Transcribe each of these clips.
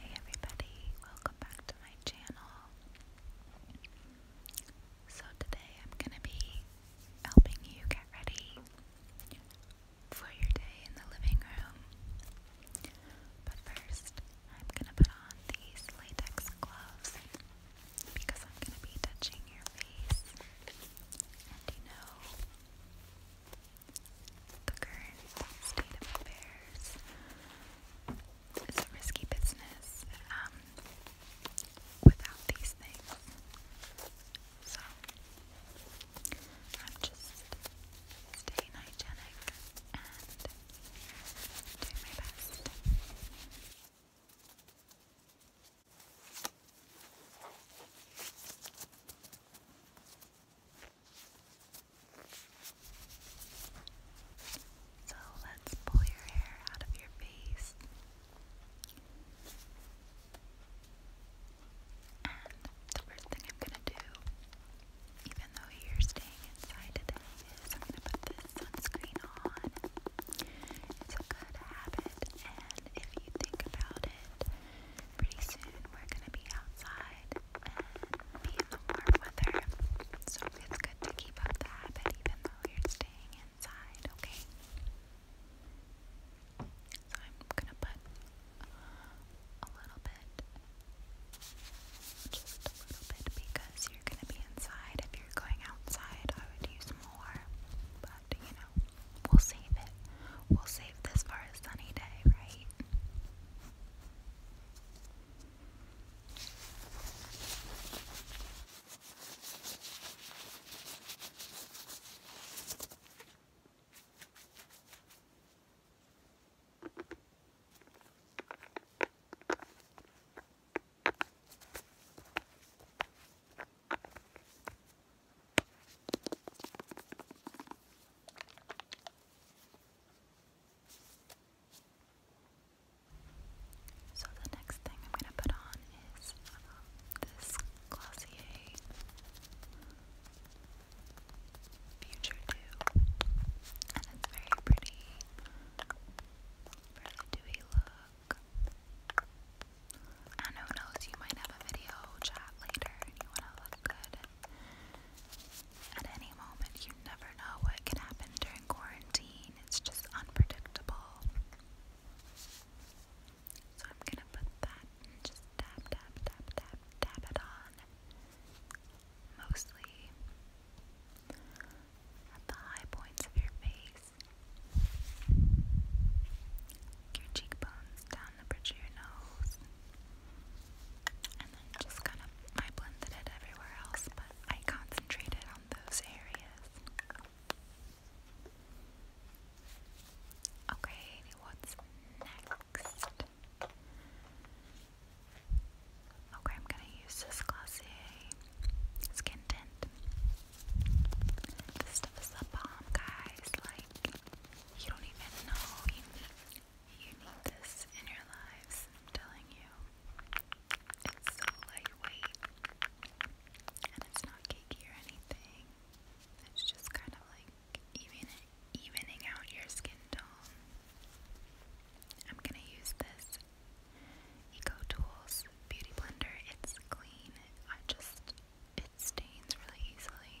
Hey everybody, welcome back to my channel. So today I'm going to be helping you get ready for your day in the living room. But first, I'm going to put on these latex gloves because I'm going to be touching your face. And you know, the current state of affairs is a risky business um, without these things. So, I'm just staying hygienic and doing my best. So let's pull your hair out of your face and the first thing I'm going to do, even though you're staying inside today, is I'm going to put this sunscreen on it's a good habit, and if you think about it, pretty soon we're gonna be outside and be in the warm weather. So it's good to keep up that habit even though you're staying inside, okay? So I'm gonna put a little bit, just a little bit, because you're gonna be inside. If you're going outside, I would use more. But you know, we'll save it. We'll save this for a sunny day, right? So the next thing I'm going to put on is um, this Glossier Future 2 and it's very pretty Really do a look. And who knows, you might have a video chat later and you want to look good. At any moment, you never know what can happen during quarantine. It's just unpredictable. So I'm gonna put that just tap, tap, tap, tap, tap it on mostly at the high points of your face, your cheekbones, down the bridge of your nose, and then just kind of I blended it everywhere else, but I concentrated on those areas. Okay, what's next? Okay, I'm gonna use this Glossier skin tint. This stuff is the bomb, guys. Like, you don't even know you need, you need this in your lives. telling you. It's so lightweight. And it's not cakey or anything. It's just kind of like even evening out your skin tone. I'm gonna use this Eco Beauty Blender. It's clean. I just it stains really easily.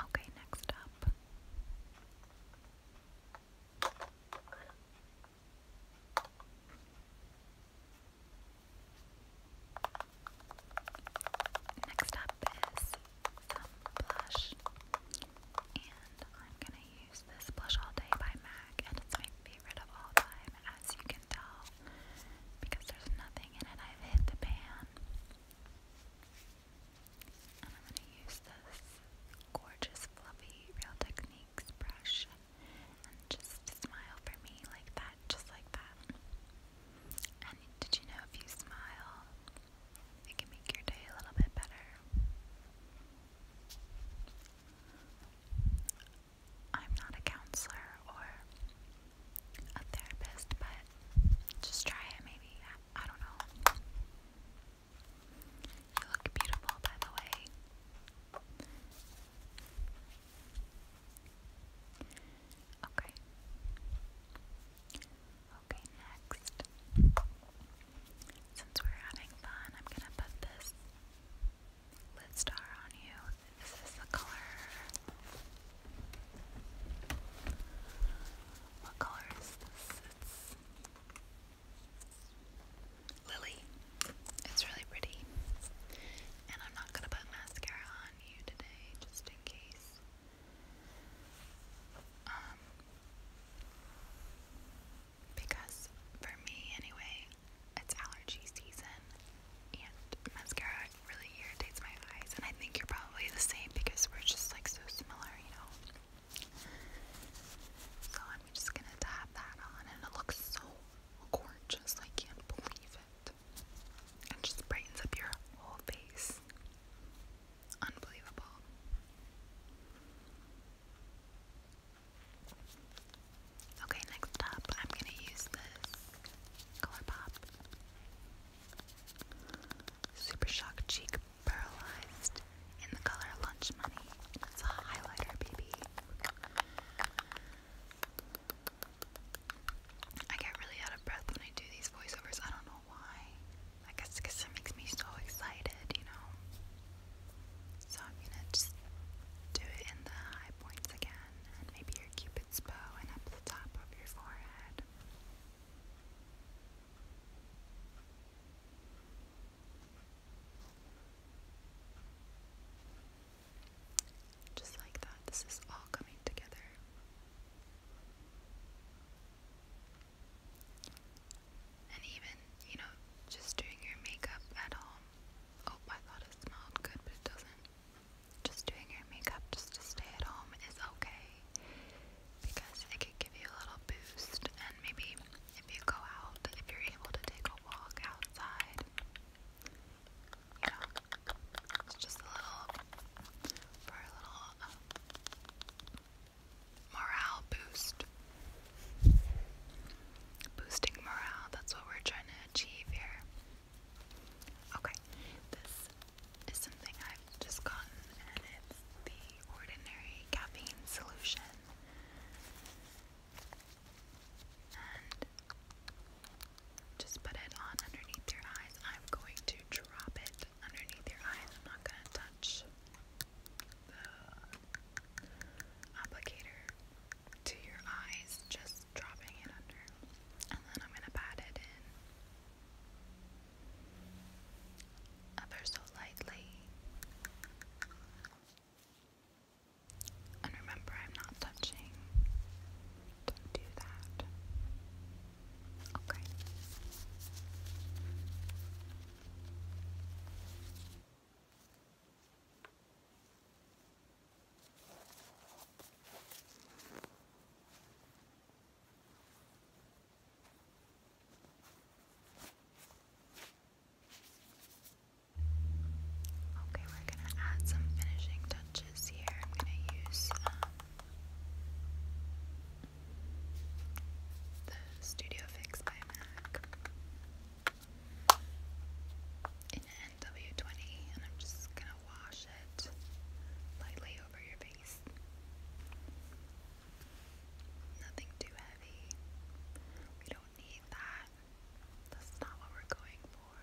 Okay, next up. Next up is some blush. And I'm gonna use this blush all day by MAC, and it's my favorite of all time, as you can tell, because there's nothing in it. I've hit the pan. And I'm gonna use this gorgeous, fluffy Real Techniques brush and just smile for me like that just like that. And did you know if you smile, it can make your day a little bit better? I'm not a counselor or a therapist, but just try it maybe. I don't know. You look beautiful, by the way. Okay. Okay, next. Since we're having fun, I'm gonna put this lid star on you. This is the color. What color is this? Lily. It's really pretty. And I'm not gonna put mascara on you today, just in case. Um, because for me, anyway, it's allergy season, and mascara really irritates my eyes. And I think you're probably the same because we're just like so similar, you know. So I'm just gonna tap that on, and it looks so gorgeous. I can't believe it. It just brightens up your whole face. Unbelievable. Okay, next up, I'm going to use this Color Pop Super Shock Cheek Paralyzed in the color Lunch Money. It's a highlighter, baby. I get really out of breath when I do these voiceovers. I don't know why. I guess because it makes me so excited, you know. So I'm gonna just do it in the high points again, and maybe your cupid's bow, and up the top of your forehead. Just like that, this is all coming together. And even, you know, just doing your makeup at home. Oh, I thought it smelled good, but it doesn't. Just doing your makeup just to stay at home is okay because it could give you a little boost, and maybe if you go out, if you're able to take a walk outside, it's just a little for a little uh, morale boost. Boosting morale, that's what we're trying to achieve here. Okay, this is something I've just gotten, and it's the Ordinary Caffeine Solution just put it on underneath your eyes. I'm going to drop it underneath your eyes. I'm not going to touch the applicator to your eyes, just dropping it under. And then I'm going to pat it in ever so lightly. And remember, I'm not touching. Don't do that. Okay. Okay, we're gonna add some finishing touches here. I'm gonna use um, the Studio Fix by MAC in NW20, and I'm just gonna wash it lightly over your face. Nothing too heavy need that. That's not what we're going for.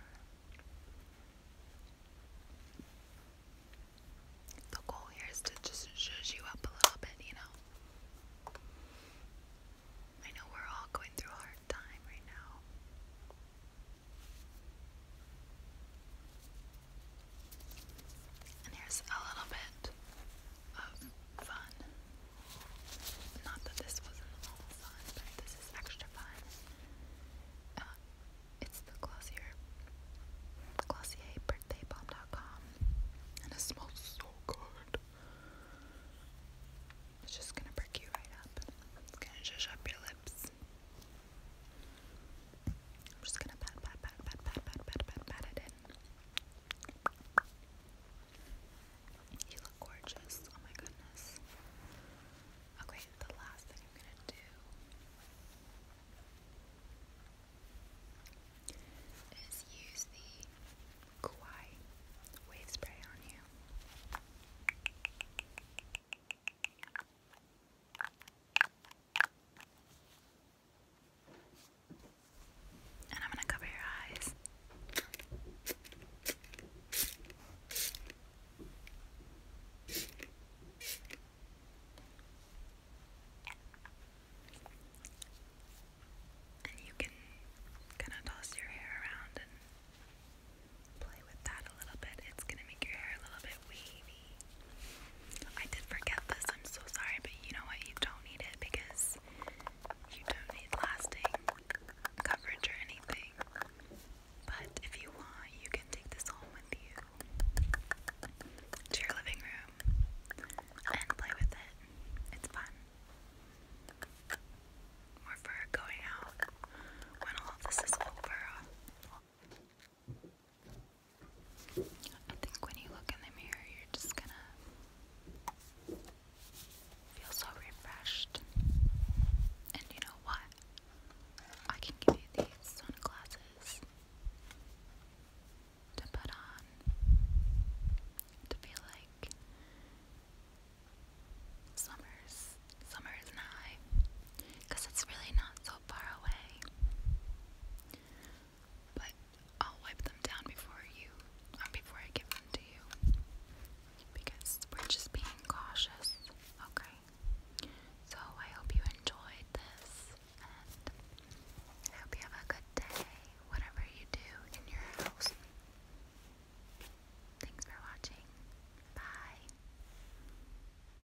The goal here is to just zhuzh you up a little bit, you know? I know we're all going through a hard time right now. And here's a little bit of fun. Not that this wasn't all fun, but this is extra fun. Uh, it's the Glossier, Glossier Birthday Balm.com, and it smells so good. It's just gonna perk you right up. It's gonna zhuzh up your lips. I'm just gonna pat, pat, pat, pat, pat, pat, pat, pat it in. You look gorgeous. Oh my goodness. Okay, the last thing I'm gonna do is use the Kauai wave spray on you. And I'm going to cover your eyes. And you can kind of toss your hair around and play with that a little bit. It's going to make your hair a little bit wavy. I did forget this, I'm so sorry, but you know what? You don't need it because you don't need lasting coverage or anything. But if you want, you can take this home with you to your living room and play with it. It's fun. More for going out when all this is over. I think when you look in the mirror, you're just gonna feel so refreshed. And you know what? I can give you these sunglasses to put on to feel like summer's summer is nigh it's really not so far away but I'll wipe them down before you, uh, before I give them to you, because we're just being cautious. Okay. So I hope you enjoyed this, and I hope you have a good day, whatever you do in your house. Thanks for watching. Bye.